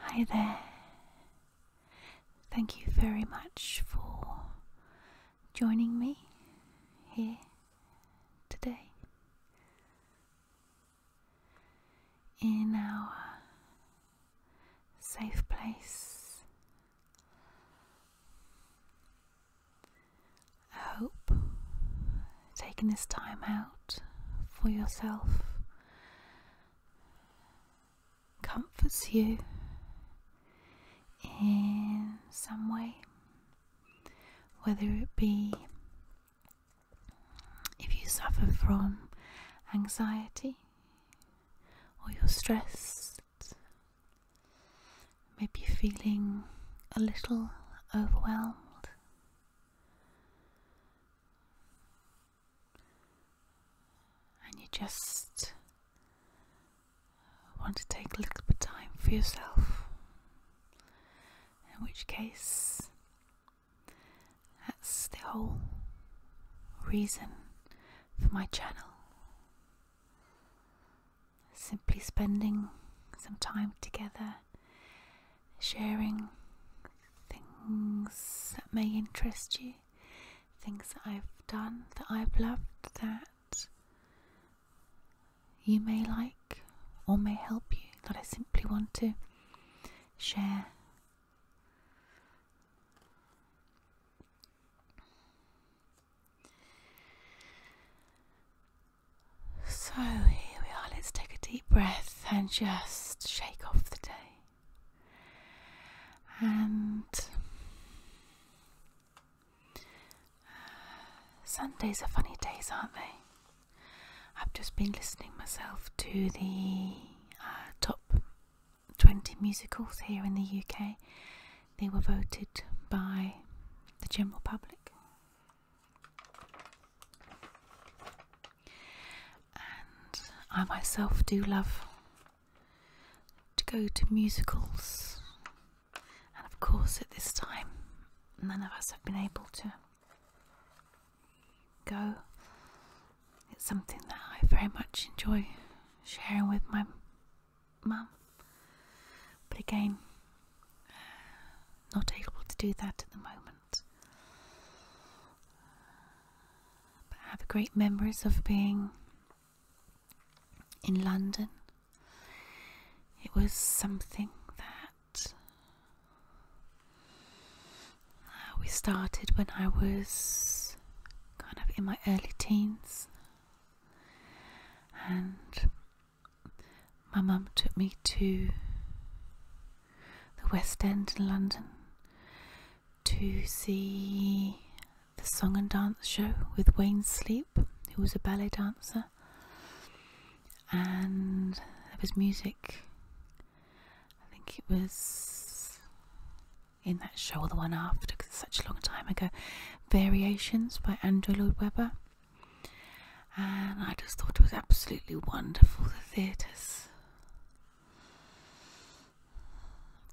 Hi there. Thank you very much for joining me here today in our safe place. I hope taking this time out for yourself comforts you in some way, whether it be if you suffer from anxiety or you're stressed, maybe feeling a little overwhelmed and you just want to take a little bit of time for yourself, in which case, that's the whole reason for my channel. Simply spending some time together sharing things that may interest you, things that I've done, that I've loved, that you may like or may help you, that I simply want to share. So here we are. Let's take a deep breath and just shake off the day. And uh, Sundays are funny days, aren't they? I've just been listening myself to the uh, top 20 musicals here in the UK. They were voted by the general public. And I myself do love to go to musicals, and of course, at this time, none of us have been able to go. It's something that I very much enjoy sharing with my mum. But again, not able to do that at the moment. But I have great memories of being in London. It was something that uh, we started when I was kind of in my early teens. And my mum took me to the West End in London to see the song and dance show with Wayne Sleep, who was a ballet dancer, and there was music. I think it was in that show or the one after, because it's such a long time ago. Variations by Andrew Lloyd Webber, and I just thought it was absolutely wonderful the theatres.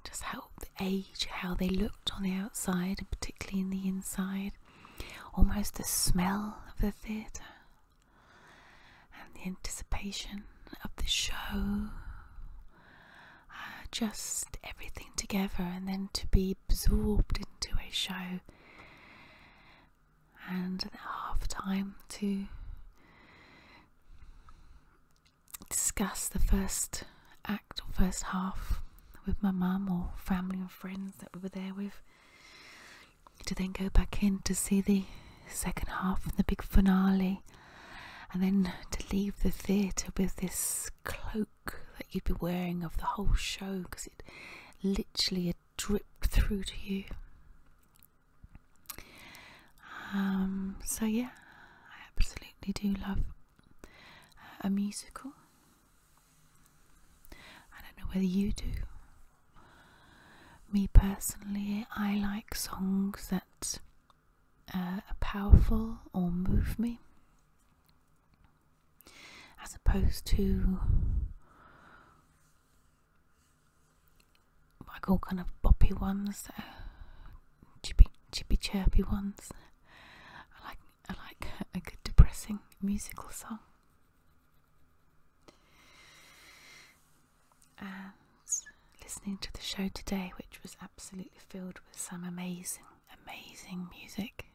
Just how the age, how they looked on the outside and particularly in the inside, almost the smell of the theatre and the anticipation of the show. Uh, just everything together, and then to be absorbed into a show and half time to discuss the first act or first half with my mum or family and friends that we were there with to then go back in to see the second half and the big finale and then to leave the theatre with this cloak that you'd be wearing of the whole show because it literally had dripped through to you. Um, so, yeah, I absolutely do love a musical. I don't know whether you do. Me personally, I like songs that uh, are powerful or move me as opposed to like all kind of boppy ones, uh, chippy chippy chirpy ones. I like I like a good depressing musical song. And listening to the show today, which was absolutely filled with some amazing, amazing music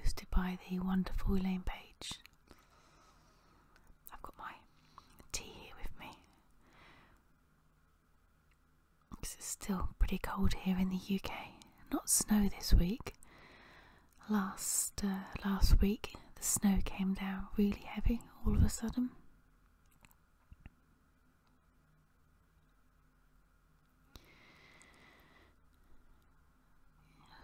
hosted by the wonderful Elaine Page. I've got my tea here with me. it's still pretty cold here in the UK. Not snow this week. Last uh, last week the snow came down really heavy all of a sudden.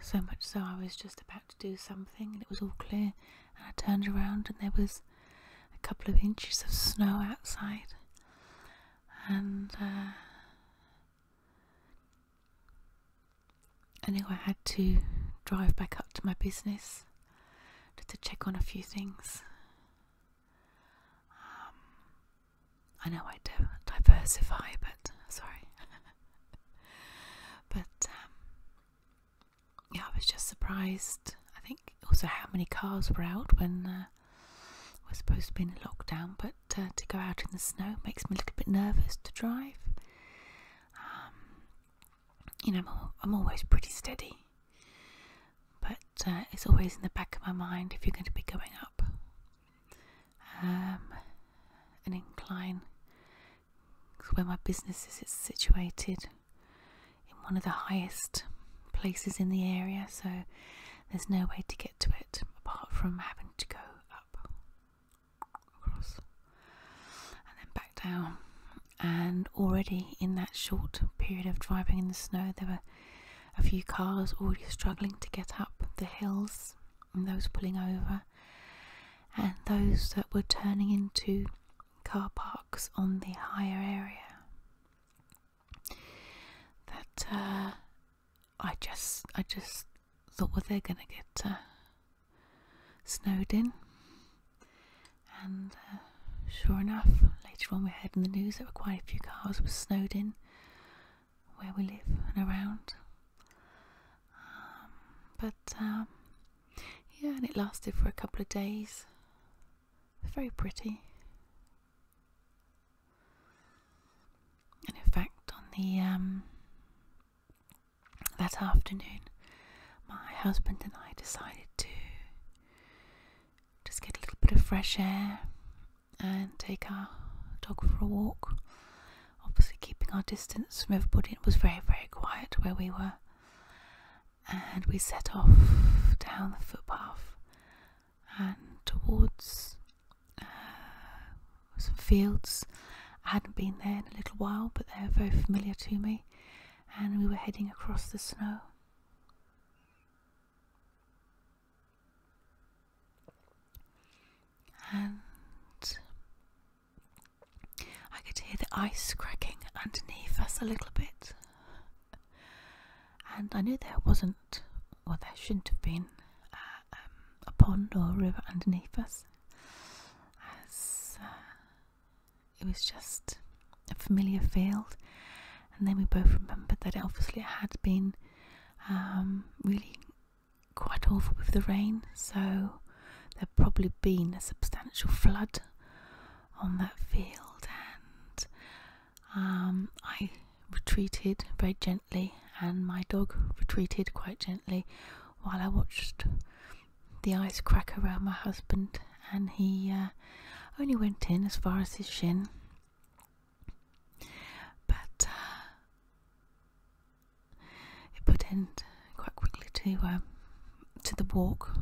So much so, I was just about to do something and it was all clear, and I turned around and there was a couple of inches of snow outside, and uh, I knew I had to drive back up to my business to check on a few things. Um, I know I do diversify, but sorry. but um, yeah, I was just surprised. I think also how many cars were out when uh, we're supposed to be in lockdown, but uh, to go out in the snow makes me a little bit nervous to drive. Um, you know, I'm always pretty steady but uh, it's always in the back of my mind if you're going to be going up. Um, an incline, where my business is situated in one of the highest places in the area, so there's no way to get to it apart from having to go up, across, and then back down. And already in that short period of driving in the snow, there were a few cars already struggling to get up the hills and those pulling over, and those that were turning into car parks on the higher area. That uh, I just, I just thought, well, they're going to get uh, snowed in, and uh, sure enough, later on we heard in the news that quite a few cars were snowed in where we live and around. Um, but um, yeah, and it lasted for a couple of days. Very pretty. And in fact, on the um, that afternoon, my husband and I decided to just get a little bit of fresh air and take our dog for a walk. Obviously, keeping our distance from everybody. It was very, very quiet where we were. And we set off down the footpath and towards uh, some fields. I hadn't been there in a little while, but they were very familiar to me. And we were heading across the snow. And I could hear the ice cracking underneath us a little bit. And I knew there wasn't, or there shouldn't have been, uh, um, a pond or a river underneath us. As uh, it was just a familiar field, and then we both remembered that obviously it had been um, really quite awful with the rain, so there'd probably been a substantial flood on that field, and um, I retreated very gently, and my dog retreated quite gently while I watched the ice crack around my husband and he uh, only went in as far as his shin. But uh, it put end quite quickly to um, to the walk,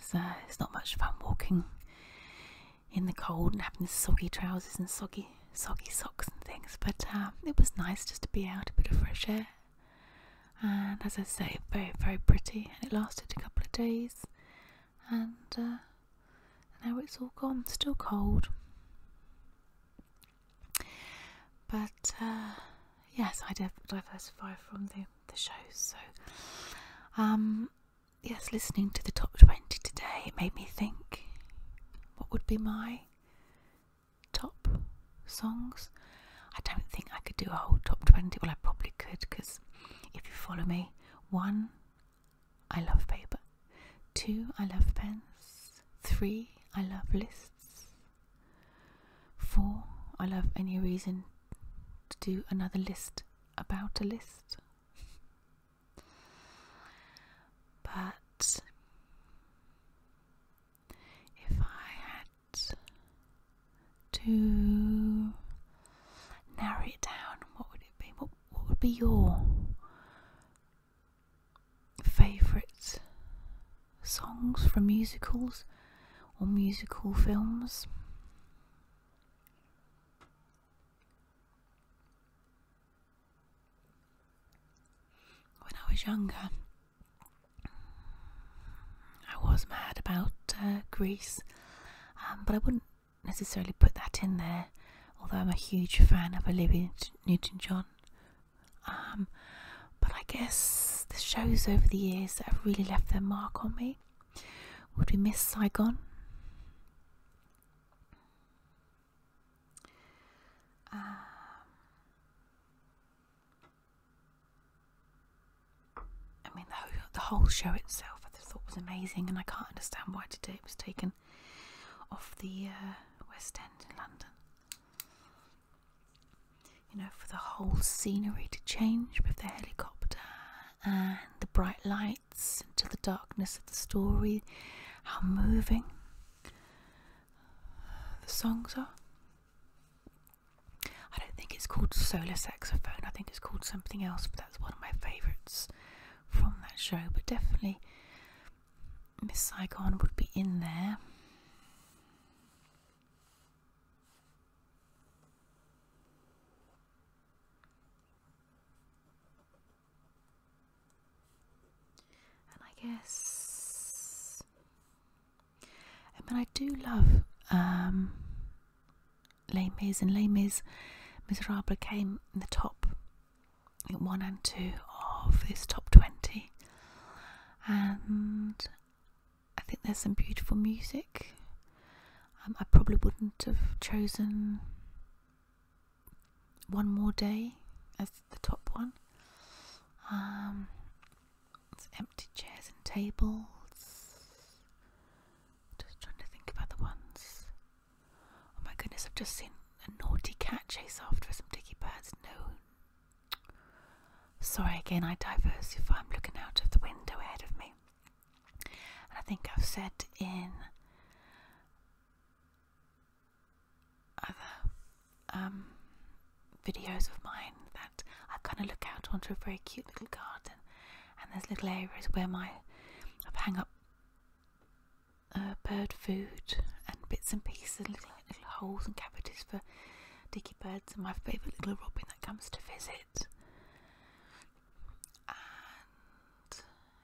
so it's uh, not much fun walking in the cold and having soggy trousers and soggy soggy socks and things. But um, it was nice just to be out, a bit of fresh air and as I say, very, very pretty. And it lasted a couple of days, and uh, now it's all gone, still cold. But uh, yes, I diversify from the, the shows. So, um, yes, listening to the top 20 today it made me think what would be my top songs. I don't think I could do a whole top 20. Well, I probably could because if you follow me, one, I love paper, two, I love pens, three, I love lists, four, I love any reason to do another list about a list. But if I had to narrow it down, what would it be? What, what would be your favourite songs from musicals or musical films? When I was younger, I was mad about uh, Greece, um, but I wouldn't necessarily put that in there. Although I'm a huge fan of Olivia Newton-John, um, but I guess the shows over the years that have really left their mark on me would be Miss Saigon. Um, I mean, the whole, show itself I thought was amazing, and I can't understand why today it was taken off the uh, West End in London. You know, for the whole scenery to change with the helicopter and the bright lights into the darkness of the story, how moving the songs are. I don't think it's called Solar Saxophone, I think it's called something else, but that's one of my favourites from that show. But definitely, Miss Saigon would be in there. And I guess but I do love um, Les Mis, and Les Mis Miserable came in the top one and two of this top 20. And I think there's some beautiful music. Um, I probably wouldn't have chosen One More Day as the top one. Um, empty chairs and tables. Just trying to think about the ones. Oh my goodness, I've just seen a naughty cat chase after some dicky birds. No. Sorry again, I diversify. I'm looking out of the window ahead of me. I think I've said in other um, videos of mine that I kind of look out onto a very cute little garden, and there's little areas where my I've hung up uh, bird food and bits and pieces, little little holes and cavities for dicky birds and my favourite little robin that comes to visit. And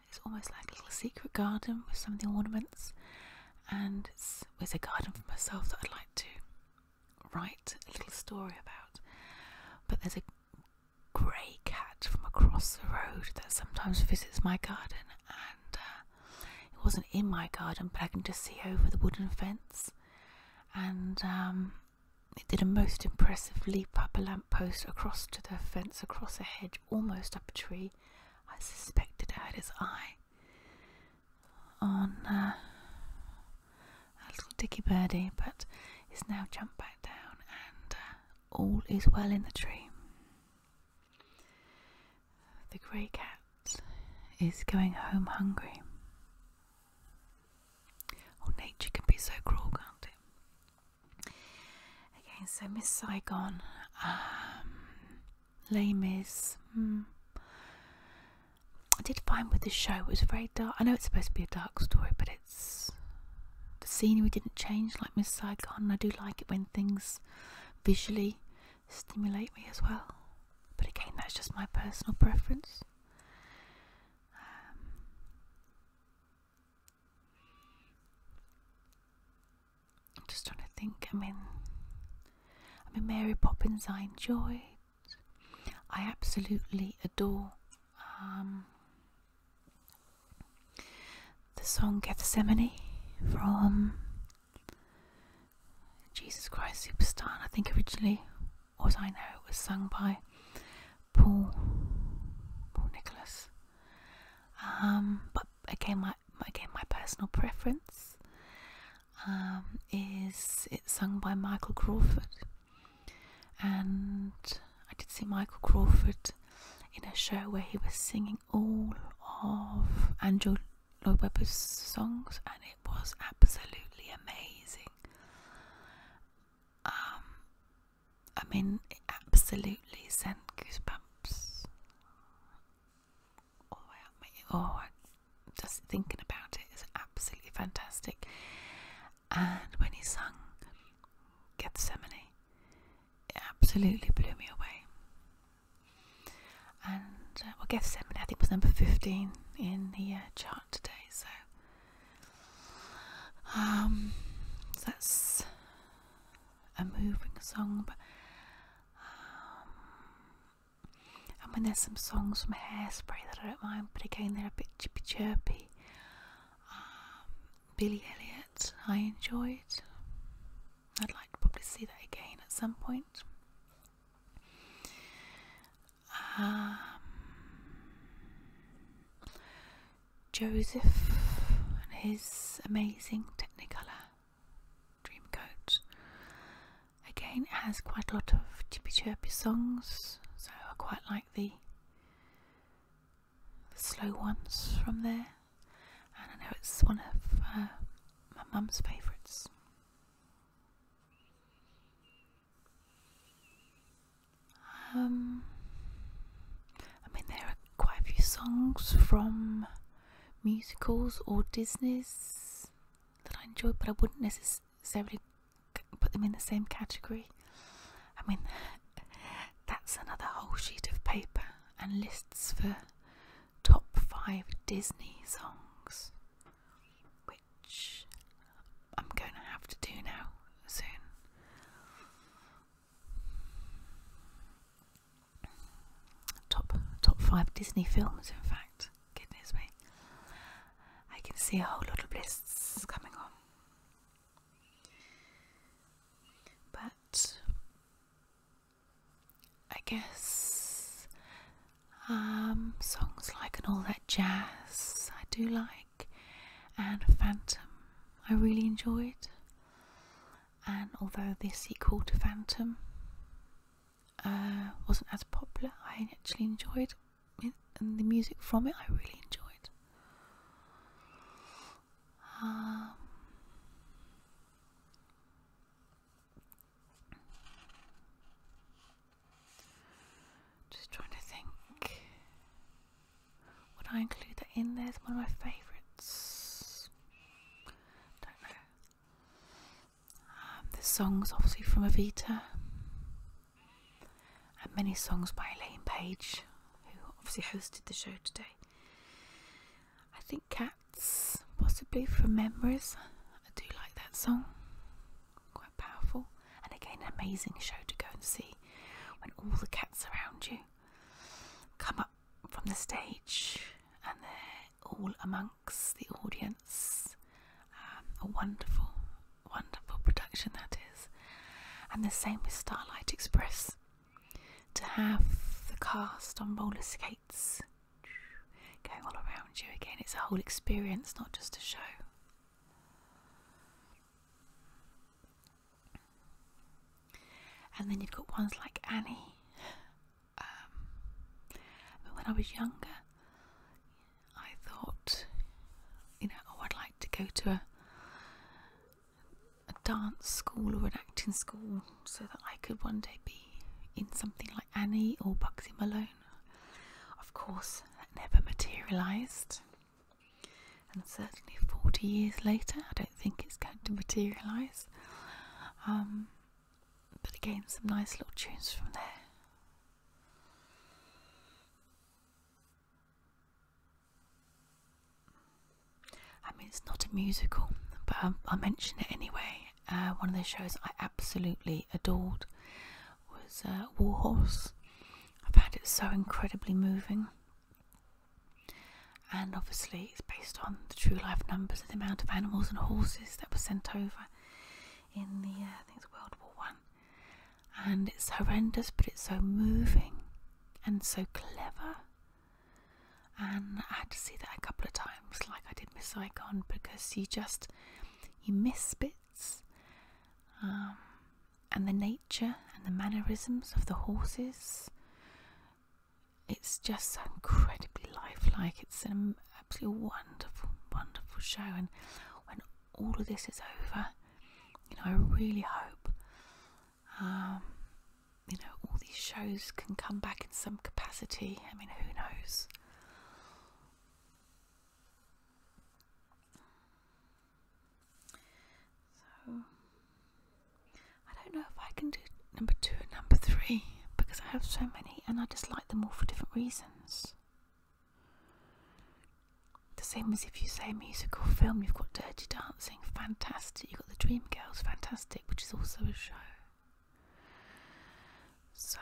it's almost like a little secret garden with some of the ornaments, and it's, it's a garden for myself that I'd like to write a little story about. But there's a grey cat from across the road that sometimes visits my garden, and uh, it wasn't in my garden, but I can just see over the wooden fence. And um, it did a most impressive leap up a lamp post, across to the fence, across a hedge, almost up a tree. I suspected it had its eye on uh, a little dicky birdie, but it's now jumped back down, and uh, all is well in the tree. The grey cat is going home hungry. Oh, nature can be so cruel, can't it? Okay, so Miss Saigon, um, lame is. Hmm, I did fine with this show it was very dark. I know it's supposed to be a dark story, but it's the scenery didn't change like Miss Saigon. I do like it when things visually stimulate me as well. But again, that's just my personal preference. Um, I'm just trying to think. I mean, I mean Mary Poppins. I enjoy. I absolutely adore um, the song Gethsemane from Jesus Christ Superstar. And I think originally, as I know, it was sung by Paul Nicholas. Um, but again, my again my personal preference. Um, is it's sung by Michael Crawford. And I did see Michael Crawford in a show where he was singing all of Andrew Lloyd Webber's songs, and it was absolutely amazing. Um, I mean, absolutely sent goosebumps. Oh, oh just thinking about it is absolutely fantastic. And when he sung Gethsemane, it absolutely blew me away. And uh, well, Gethsemane, I think, was number 15 in the uh, chart today. So, um, that's a moving song, but um, and when there's some songs from Hairspray that I don't mind, but again they're a bit chippy chirpy. Um, Billy Elliot, I enjoyed. I'd like to probably see that again at some point. Um, Joseph and his amazing Technicolor Dreamcoat. Again, it has quite a lot of chippy chirpy songs, so I quite like the, slow ones from there. And I know it's one of uh, my mum's favourites. Um, I mean, there are quite a few songs from musicals or Disney's that I enjoy, but I wouldn't necessarily put them in the same category. I mean, that's another whole sheet of paper and lists for top five Disney songs, which I'm going to have to do now soon. Top top five Disney films, in fact goodness me. I can see a whole lot of lists coming on. But I guess um, songs like and all that jazz I do like, and Phantom I really enjoyed. And although this sequel to Phantom uh, wasn't as popular. I actually enjoyed the music from it I really enjoyed. Um, just trying to think. Would I include that in there one of my favourites? Don't know. Um, the song's obviously from Avita, and many songs by Elaine Page, who obviously hosted the show today. I think Cats, possibly from Memories. I do like that song, quite powerful, and again, amazing show to go and see when all the cats around you come up from the stage and they're all among the audience. Um, a wonderful, wonderful production that is. And the same with Starlight Express. To have the cast on roller skates going all around you again, it's a whole experience, not just a show. And then you've got ones like Annie, um, but when I was younger, I thought, you know, oh, I'd like to go to a a dance school or an acting school so that I could one day be in something like Annie or Bugsy Malone. Of course, that never materialised. And certainly 40 years later, I don't think it's going to materialise. Um, but again, some nice little tunes from there. I mean, it's not a musical, but I, I mention it anyway. Uh, one of the shows I absolutely adored was uh, Warhorse. I found it so incredibly moving. And obviously, it's based on the true life numbers of the amount of animals and horses that was sent over in the uh, things World War One, and it's horrendous, but it's so moving and so clever. And I had to see that a couple of times, like I did Miss Icon, because you just you miss bits, um, and the nature and the mannerisms of the horses it's just so incredibly lifelike. It's an absolutely wonderful, wonderful show. And when all of this is over, you know, I really hope, um, you know, all these shows can come back in some capacity. I mean, who knows? So, I don't know if I can do number two and number three because I have so many and I just like them all for different reasons. The same as if you say musical film, you've got Dirty Dancing, fantastic. You've got The Dream Girls, fantastic, which is also a show. So,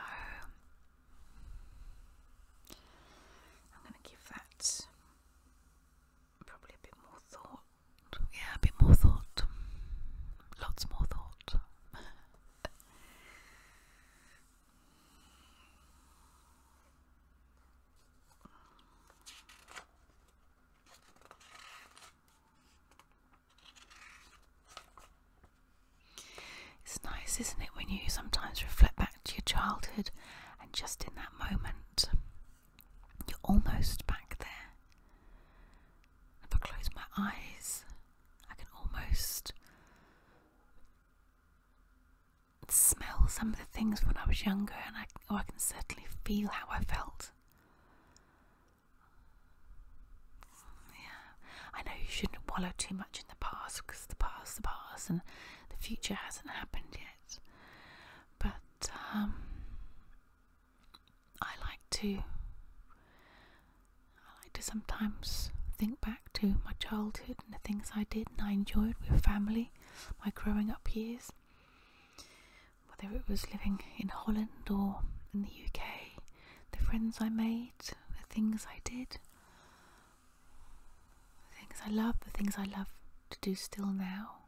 I'm going to give that probably a bit more thought. Yeah, a bit more thought. Lots more thought. It's nice, isn't it, when you sometimes reflect back to your childhood and just in that moment, you're almost back there. If I close my eyes, I can almost smell some of the things when I was younger, and I, oh, I can certainly feel how I felt. Yeah, I know you shouldn't wallow too much in the past because the past, the past, and the future hasn't happened yet. But um, I like to I like to sometimes think back to my childhood and the things I did and I enjoyed with family, my growing up years. Whether it was living in Holland or in the UK, the friends I made, the things I did, the things I love, the things I love to do still now.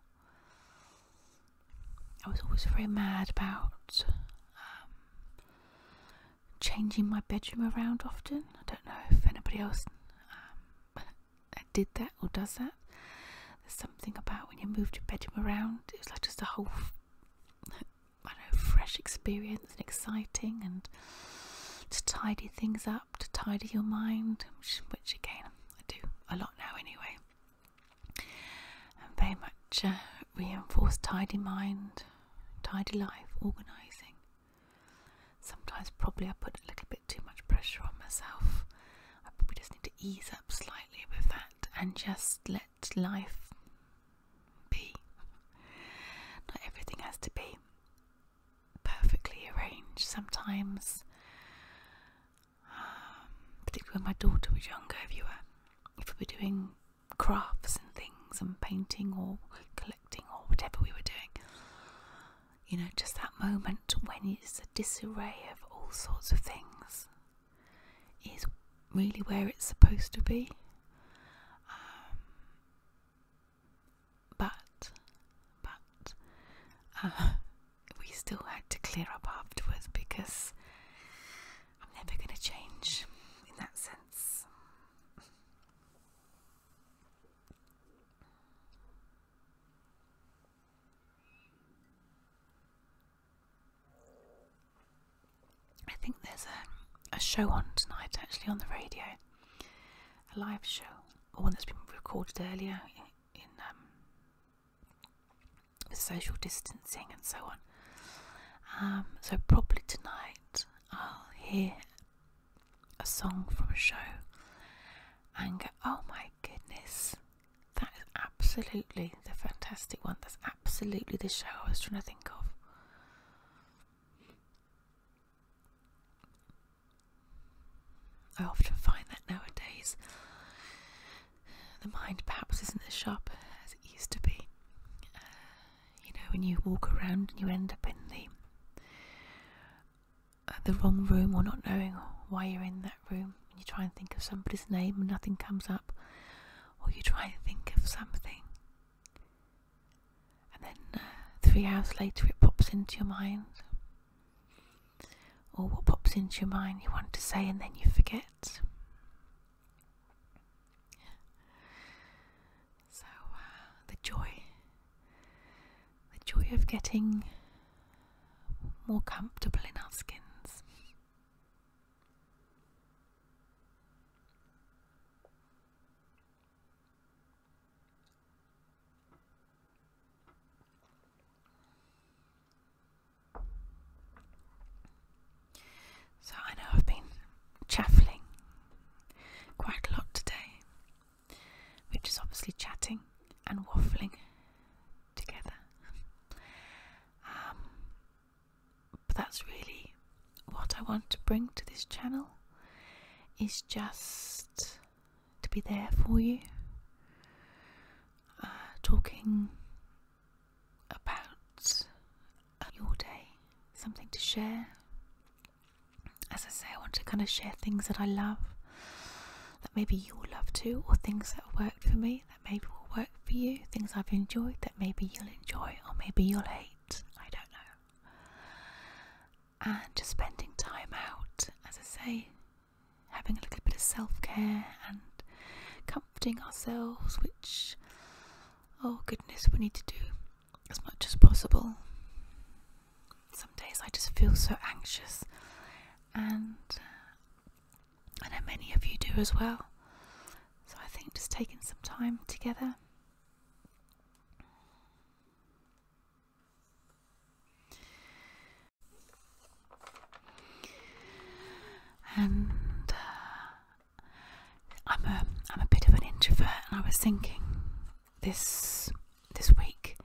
I was always very mad about um, changing my bedroom around often. I don't know if anybody else um, did that or does that. There's something about when you move your bedroom around, it was like just a whole, I know, fresh experience and exciting and to tidy things up, to tidy your mind, which again I do a lot now anyway very much uh, reinforce tidy mind, tidy life, organising. Sometimes, probably, I put a little bit too much pressure on myself. I probably just need to ease up slightly with that and just let life be. Not everything has to be perfectly arranged. Sometimes um, particularly when my daughter was younger, if you were, if we were doing crafts and things and painting or collecting or whatever we were doing. You know, just that moment when it's a disarray of all sorts of things is really where it's supposed to be. Um, but, but, uh, we still had to clear up afterwards because I'm never going to change in that sense. I think there's a, a show on tonight actually on the radio, a live show, or one that's been recorded earlier in, um, social distancing and so on. Um, so probably tonight I'll hear a song from a show and go, oh my goodness, that is absolutely the fantastic one. That's absolutely the show I was trying to think of. I often find that nowadays the mind perhaps isn't as sharp as it used to be. Uh, you know, when you walk around and you end up in the uh, the wrong room or not knowing why you're in that room, and you try and think of somebody's name and nothing comes up, or you try and think of something, and then uh, three hours later it pops into your mind, or what pops into your mind you want to say, and then you forget. So uh, the joy, the joy of getting more comfortable in our skins. So I know I've been chaffling quite a lot today, which is obviously chatting and waffling together. Um, but that's really what I want to bring to this channel is just to be there for you uh, talking about your day, something to share. As I say, I want to kind of share things that I love, that maybe you'll love too, or things that work for me, that maybe will work for you, things I've enjoyed that maybe you'll enjoy, or maybe you'll hate. I don't know. And just spending time out, as I say, having a little bit of self care and comforting ourselves, which, oh goodness, we need to do as much as possible. Some days I just feel so anxious, and uh, I know many of you do as well. So I think just taking some time together. And uh, I'm a I'm a bit of an introvert, and I was thinking this this week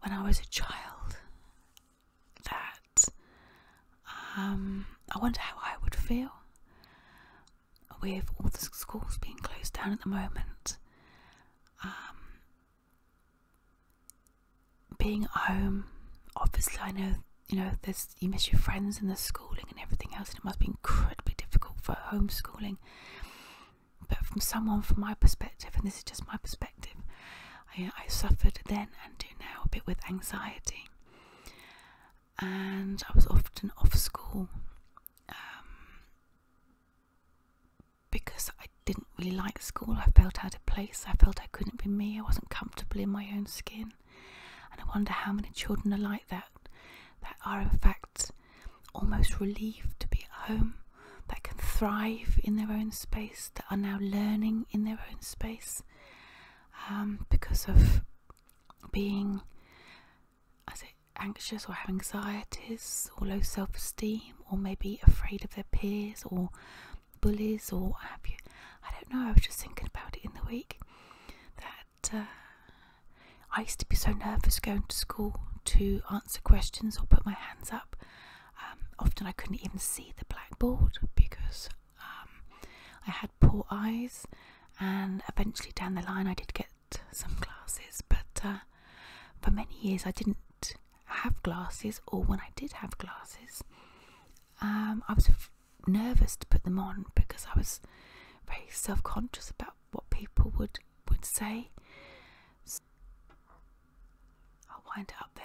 when I was a child that um, I wonder how I would feel with all the schools being closed down at the moment. Um, being at home, obviously, I know you know there's you miss your friends and the schooling and everything else, and it must be incredibly difficult for homeschooling. But from someone from my perspective, and this is just my perspective, I, suffered then and do now a bit with anxiety, and I was often off school. Um, because I didn't really like school. I felt out of place. I felt I couldn't be me. I wasn't comfortable in my own skin. And I wonder how many children are like that, that are in fact almost relieved to be at home, that can thrive in their own space, that are now learning in their own space um, because of being, as it, anxious or have anxieties or low self esteem or maybe afraid of their peers or bullies or I don't know. I was just thinking about it in the week that uh, I used to be so nervous going to school to answer questions or put my hands up. Um, often I couldn't even see the blackboard because um, I had poor eyes, and eventually down the line I did get some glasses. but uh, for many years I didn't have glasses or when I did have glasses, um, I was nervous to put them on because I was very self conscious about what people would, would say. I'll wind it up there.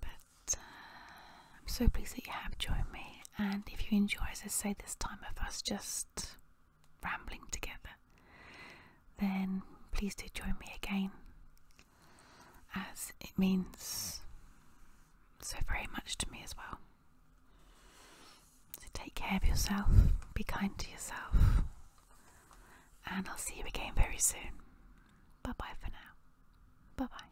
But uh, I'm so pleased that you have joined me, and if you enjoy, as I say, this time of us just rambling together, then please do join me again, as it means so very much to me as well. So take care of yourself, be kind to yourself, and I'll see you again very soon. Bye bye for now. Bye bye.